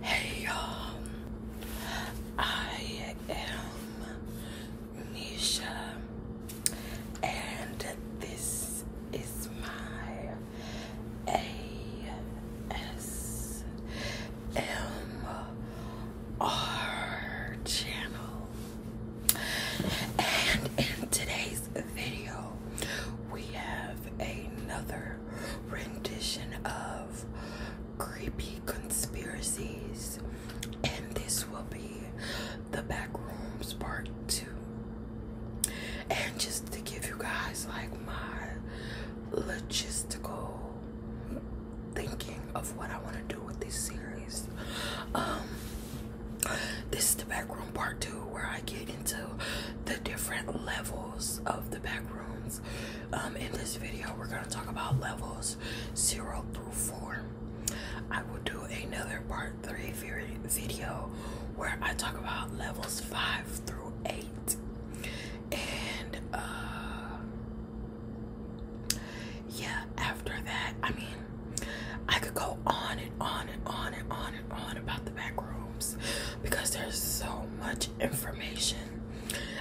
Hey y'all, um, I am Nisha, and this is my ASMR channel. And in today's today's video, we have another rendition of creepy conspiracies, and this will be the back rooms part two. And just to give you guys like my logistical thinking of what I want to do with this series, um, this is the back room part two where I get into the different levels of the back rooms. Um, in this video, we're going to talk about levels zero through four. I will do another part three video where I talk about levels five through eight. And uh, yeah, after that, I mean, I could go on and on and on and on and on about the back rooms because there's so much information.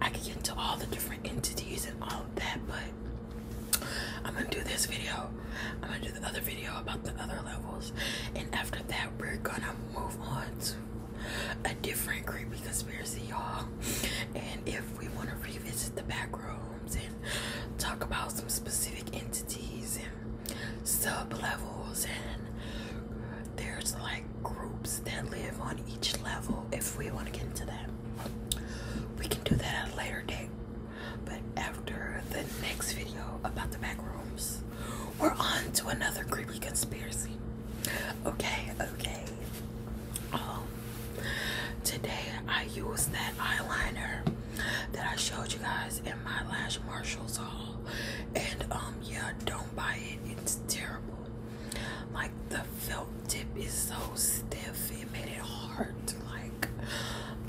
I could get into all the different entities and all of that, but I'm gonna do this video. I'm gonna do the other video about the other levels, and after that, we're gonna move on to a different creepy conspiracy, y'all. And if we want to revisit the back rooms and talk about some specific entities and sub levels and there's like groups that live on each level if we want to get into them, we can do that at a later date but after the next video about the back rooms we're on to another creepy conspiracy okay okay um today i used that eyeliner that I showed you guys in my lash Marshalls haul. And um yeah, don't buy it. It's terrible. Like the felt tip is so stiff. It made it hard to like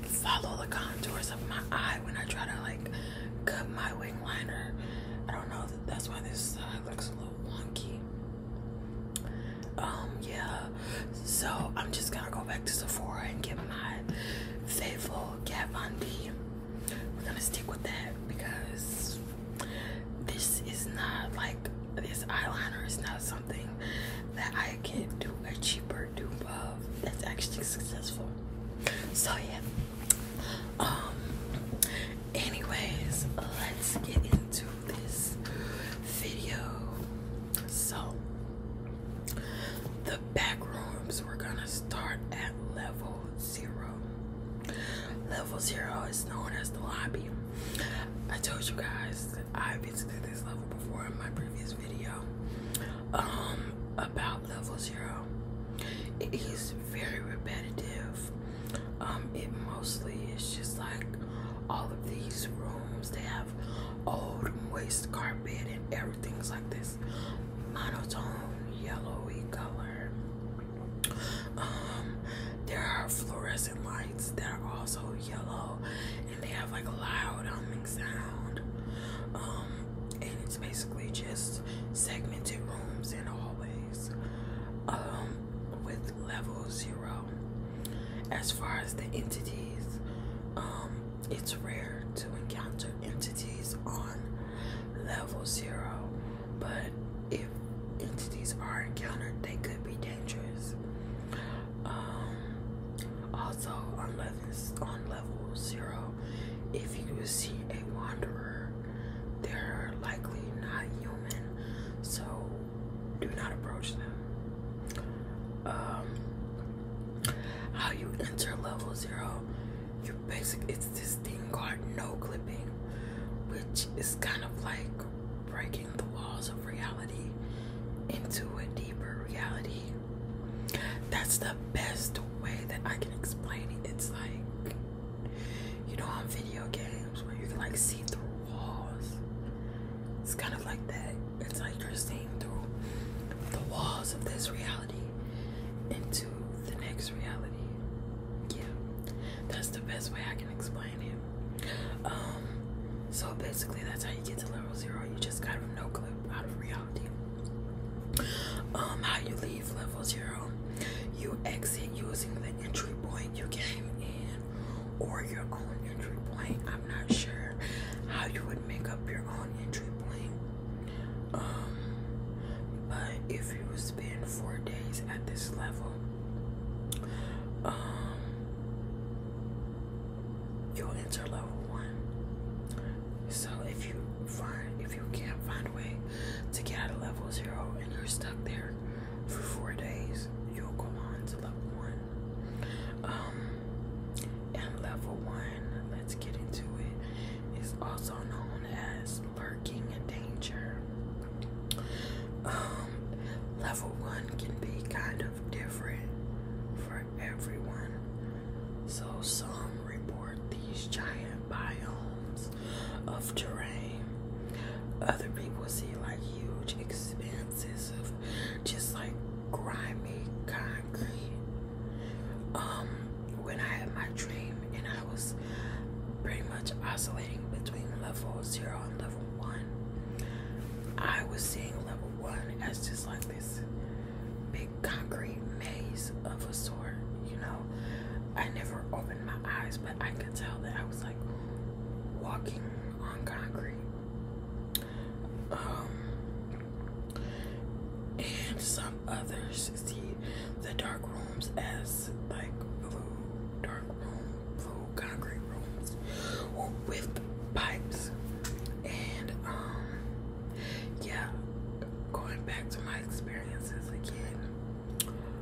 follow the contours of my eye when I try to like cut my wing liner. I don't know. That's why this side looks a little wonky. Um yeah, so I'm just gonna go back to Sephora and get my faithful Kat Von D. We're gonna stick with that because this is not like this eyeliner is not something that I can do a cheaper dupe of that's actually successful. So yeah. Um anyways, let's get into this video. So the back rooms we're gonna start at level zero. Level zero is known as the lobby. I told you guys that I visited this level before in my previous video. Um, about level zero, it is very repetitive. Um, it mostly is just like all of these rooms. They have old waste carpet and everything's like this monotone yellowy color. Um, there are fluorescent lights that are also yellow and they have like a loud humming sound. Um, and it's basically just segmented rooms and hallways. Um, with level zero. As far as the entities, um, it's rare to encounter entities on level zero, but if entities are encountered, they could be dangerous. Um, also, on levels on level zero, if you see a wanderer, they're likely not human, so do not approach them. Um, how you enter level zero you basic it's this thing called no clipping which is kind of like breaking the walls of reality into a deeper reality that's the best way that i can explain it it's like you know on video games where you can like see through walls it's kind of like that. It's like you're seeing through the walls of this reality into the next reality. Yeah, that's the best way I can explain it. Um, so basically, that's how you get to level zero. You just got a no out of reality. Um, how you leave level zero, you exit using the entry point you came in or your own entry point. I'm not sure how you would make up your own entry point. Um, but if you would spend four days at this level, um, you'll enter level one. So if you find if you can't find a way to get out of level zero and you're stuck there for four days, you'll go on to level one. Um, and level one, let's get into it, is also known as lurking danger. Um, level one can be kind of different for everyone. So some report these giant biomes of terrain. Other people see like huge expanses of just like grimy concrete. Um, when I had my dream and I was pretty much oscillating between level zero and level one, I was seeing level one as just like this big concrete maze of a sort, you know. I never opened my eyes, but I could tell that I was like walking on concrete um, and some others see the dark rooms as like blue dark room, blue concrete rooms with pipes. And um, yeah, going back to my experiences again,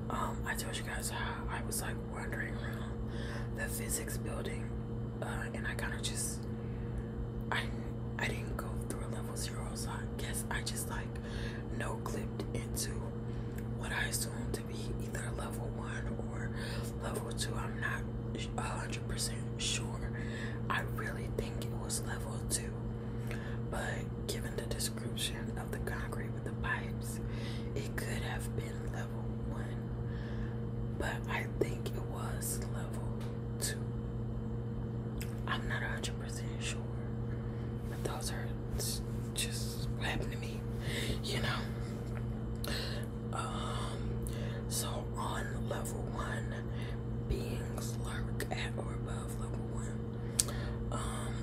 um, I told you guys how I was like wandering around the physics building, uh, and I kind of just I I didn't go through a level zero, so I guess I just like no clipped into what I assumed to be either level one or level two. I'm not hundred percent sure. I really think it was level two, but given the description of the concrete with the pipes, it could have been level but I think it was level two. I'm not 100% sure, but those are just what happened to me, you know. Um, so on level one, beings lurk at or above level one. Um,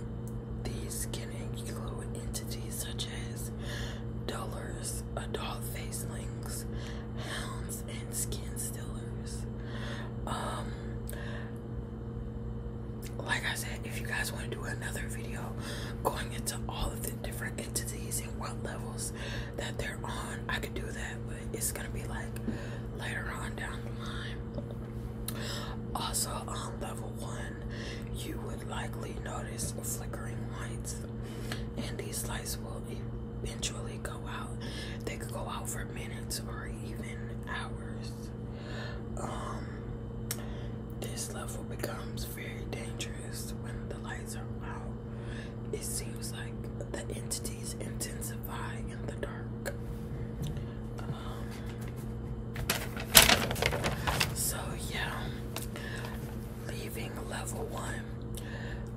these can include entities such as dollars, adult face links, hounds, and skin stealers. Um, like I said, if you guys want to do another video going into all of the different entities and what levels that they're on, I could do that, but it's gonna be like later on down the line. Also, on um, level one, you would likely notice flickering lights, and these lights will eventually go out. They could go out for minutes or even hours. Um, this level becomes very dangerous when the lights are out. It seems like the entities intensify in the dark. Um, so yeah, leaving level one.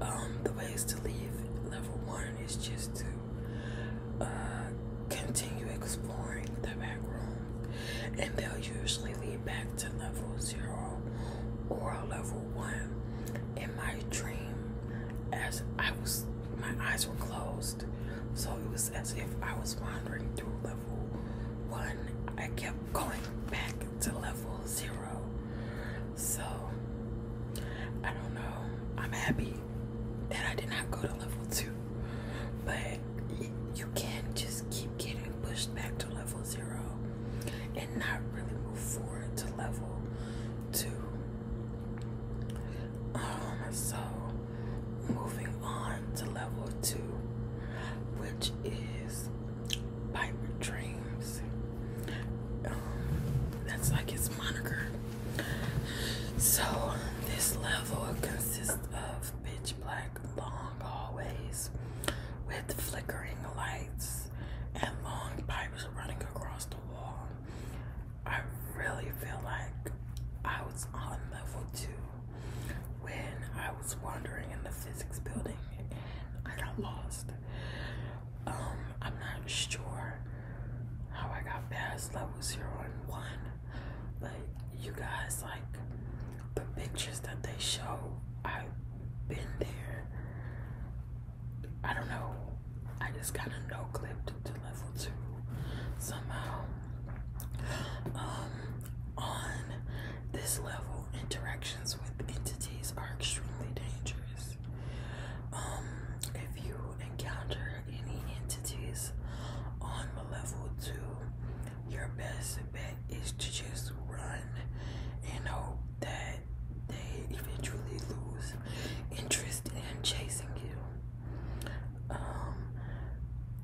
Um, the ways to leave level one is just to uh, continue exploring the back room, and they'll usually lead back to level zero or level one. In my dream, as I was, my eyes were closed, so it was as if I was wandering through level one, I kept going back to level zero. So I don't know. I'm happy that I did not go to level two, but you can just keep getting pushed back to level zero and not really move forward to level two. Um, so moving on to level two, which is Piper Dreams. Um, that's like its moniker. So this level consists of pitch black long hallways with flickering lights and long pipes running across the wall. I really feel like I was on level two when I was wandering in the physics building and I got lost. Um, I'm not sure how I got past level zero and one, but you guys like the pictures that they show. I've been there. I don't know. I just got a no clip to level two somehow. Um, on this level interactions with entities are extremely dangerous. Um, if you encounter any entities on the level two, your best bet is to just run and hope that they eventually lose interest in chasing you. Um,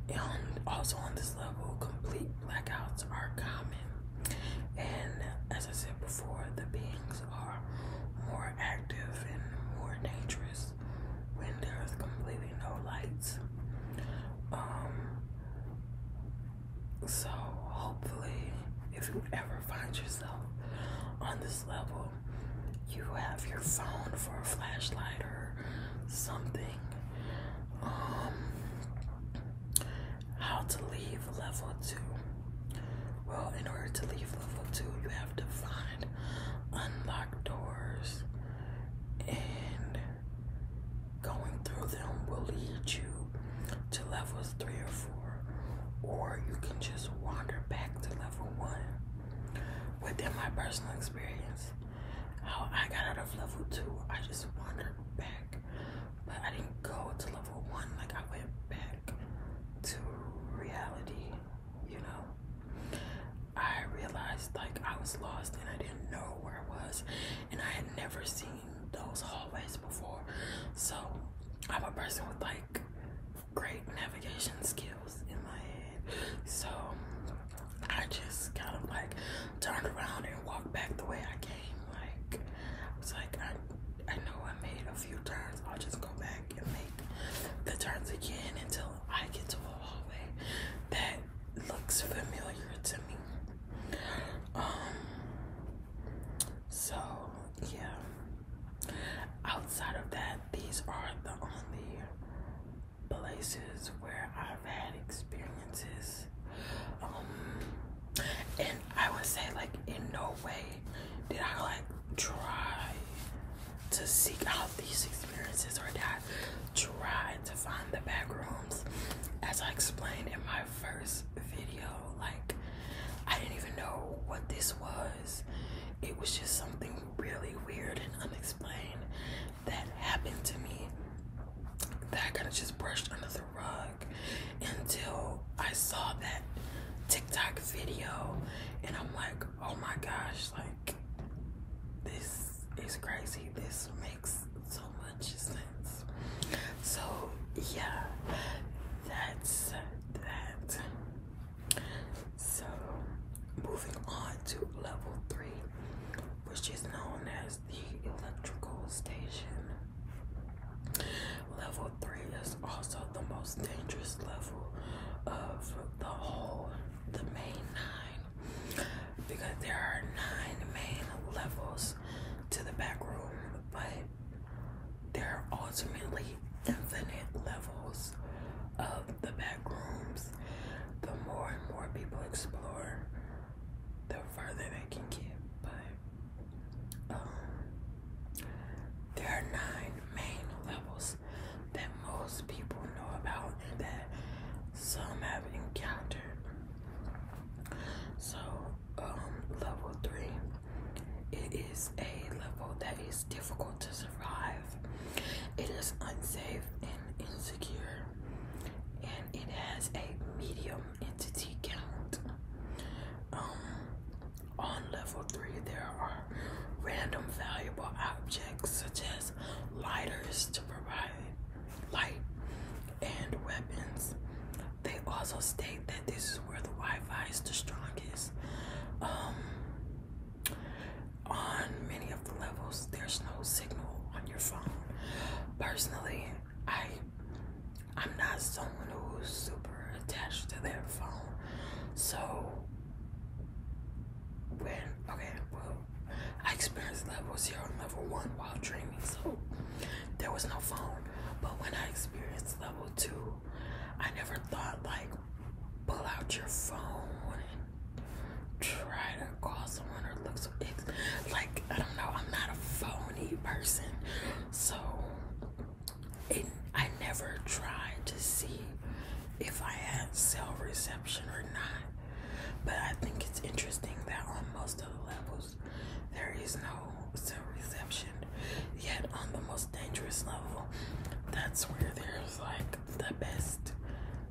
and also on this level, complete blackouts are common, and as I said before, the beings are more active and more dangerous when there's completely no lights. Um, so hopefully, if you ever find yourself on this level, you have your phone for a flashlight or something um, how to leave level two. Well, in order to leave level two, you have to find unlocked doors, and going through them will lead you to levels three or four, or you can just wander back to level one. Within my personal experience, how I got out of level two. I just wandered back, but I didn't go to level one. Like I went back to reality, you know. I realized like I was lost and I didn't know where I was, and I had never seen those hallways before. So I'm a person with like great navigation skills in my head. So I just kind of like turned around and walked back the way I came. Like I was like, I I know I made a few turns. I'll just go back and make the turns again until I get to a hallway that looks familiar to me. Um, so yeah. Outside of that, these are the only places where I've had experiences. Um, and I would say, like, in no way did I, like, try to seek out these experiences or try to find the bedrooms. As I explained in my first video, like, I didn't even know what this was. It was just something really weird and unexplained that happened to me that I kind of just brushed under the rug until I saw that TikTok video and I'm like, oh my gosh, like this is crazy. This makes so much sense. So yeah, that's that. So moving on to level three which is known as the electrical station. Level 3 is also the most dangerous level of the whole, the main nine, because there are nine main levels to the back room, but there are ultimately infinite levels of the back rooms the more and more people explore, the further they can get. But um, there are nine main levels that most people know about and that some have encountered. So, um, level three, it is a level that is difficult to survive. It is unsafe and insecure, and it has a medium entity count. Um, on level three, there are random valuable objects such as lighters to provide light and weapons. They also state that this is where the Wi-Fi is the strongest. Um, on many of the levels there's no signal on your phone personally i i'm not someone who's super attached to their phone so when okay well i experienced level zero and level one while dreaming so there was no phone but when i experienced level two i never thought like pull out your phone try to call someone or look so like I don't know, I'm not a phony person. So I never try to see if I had cell reception or not. But I think it's interesting that on most of the levels there is no cell reception. Yet on the most dangerous level, that's where there's like the best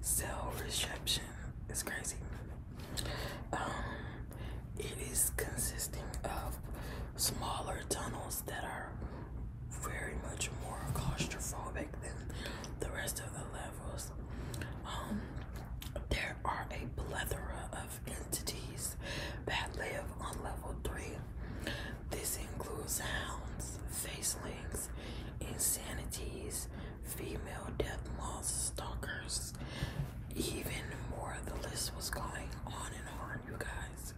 cell reception. is crazy. Um, it is consisting of smaller tunnels that are very much more claustrophobic than the rest of the levels. Um, there are a plethora of entities that live on level 3. This includes hounds, face links, insanities, female death moth stalkers, even more. The list was going on and on, you guys.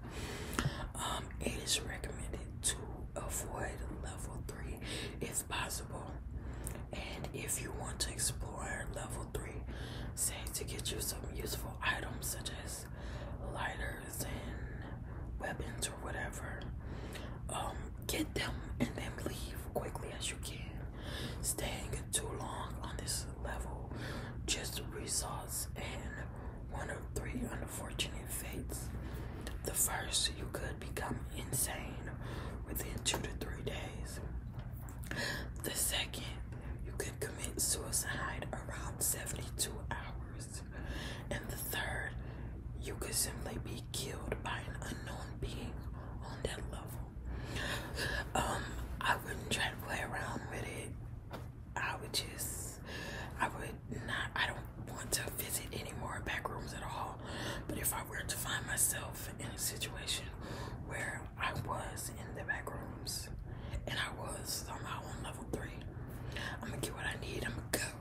Um, it is recommended to avoid level three if possible. And if you want to explore level three, say to get you some useful items such as lighters and weapons whatever, um, get them and then leave quickly as you can. Staying too long on this level just results in one of three unfortunate fates. The first, you could become insane within two to three days. The second, you could commit suicide around 72 hours. And the third, you could simply be killed by an unknown being on that level. Um, I wouldn't try to play around with it. I would just, I would not, I don't want to visit any more back rooms at all. But if I were to find myself in a situation where I was in the back rooms and I was somehow on level three, I'm gonna get what I need, I'm gonna go.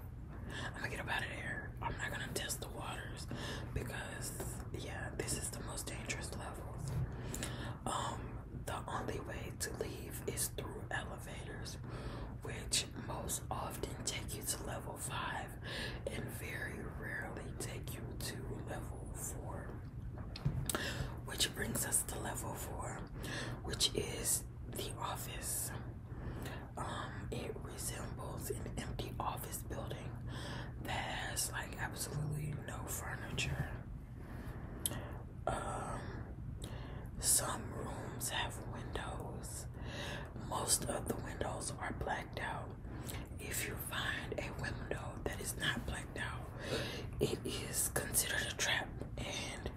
I'm gonna get up out of there. I'm not gonna test the waters because yeah, this is the most dangerous levels. Um, the only way to leave is through elevators, which most often take you to level five and very rarely take you to level four. Which brings us to level four, which is the office. Um, it resembles an empty office building that has like absolutely no furniture. Um, some rooms have windows. Most of the windows are blacked out. If you find a window that is not blacked out, it is considered a trap and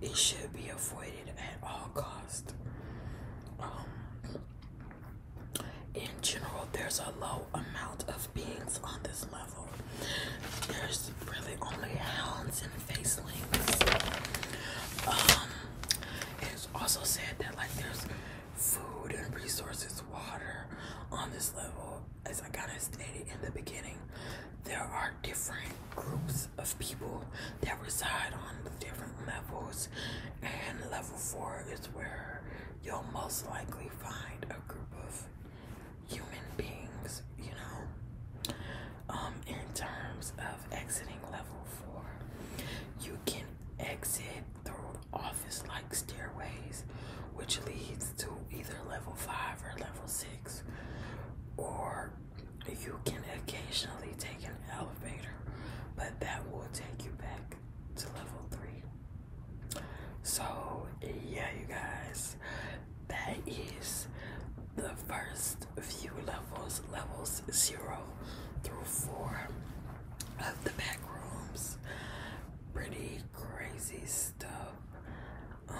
it should be avoided at all costs. Um, in general, there's a low amount of beings on this level. There's really only hounds and facelings. Um, it's also said that like there's food and resources, water on this level. As I kind of stated in the beginning, there are different groups of people that reside on different levels, and level four is where you'll most likely find a group of human beings, you know. Um, in terms of exiting level four, you can exit through office like stairways, which leads to either level five or level six, or you can occasionally take an elevator, but that will take you back to level three. So, yeah, you guys, that is the first few levels levels zero through four of the back Pretty crazy stuff. Um,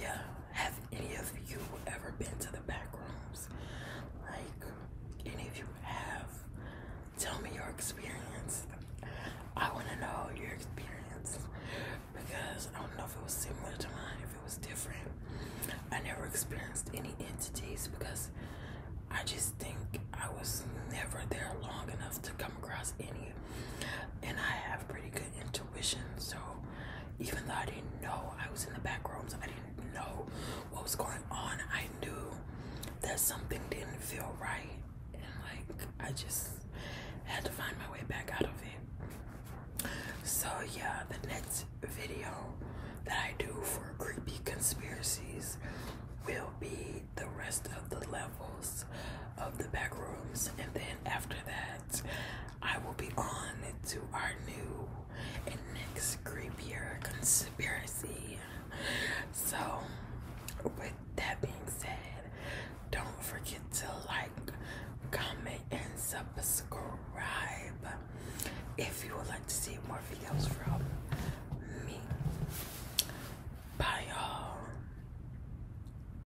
yeah, have any of you ever been to the back rooms? Like, any of you have? Tell me your experience. I want to know your experience because I don't know if it was similar to mine, if it was different. I never experienced any entities because I just think I was never there long enough to come across any and I have pretty good intuition. So even though I didn't know I was in the back rooms, I didn't know what was going on. I knew that something didn't feel right, and like I just had to find my way back out of it. So yeah, the next video that I do for creepy conspiracies will be the rest of the levels of the back rooms and then after that, I will be on to our new and next creepier conspiracy. So, with that being said, don't forget to like, comment, and subscribe if you would like to see more videos from me. Bye, y'all.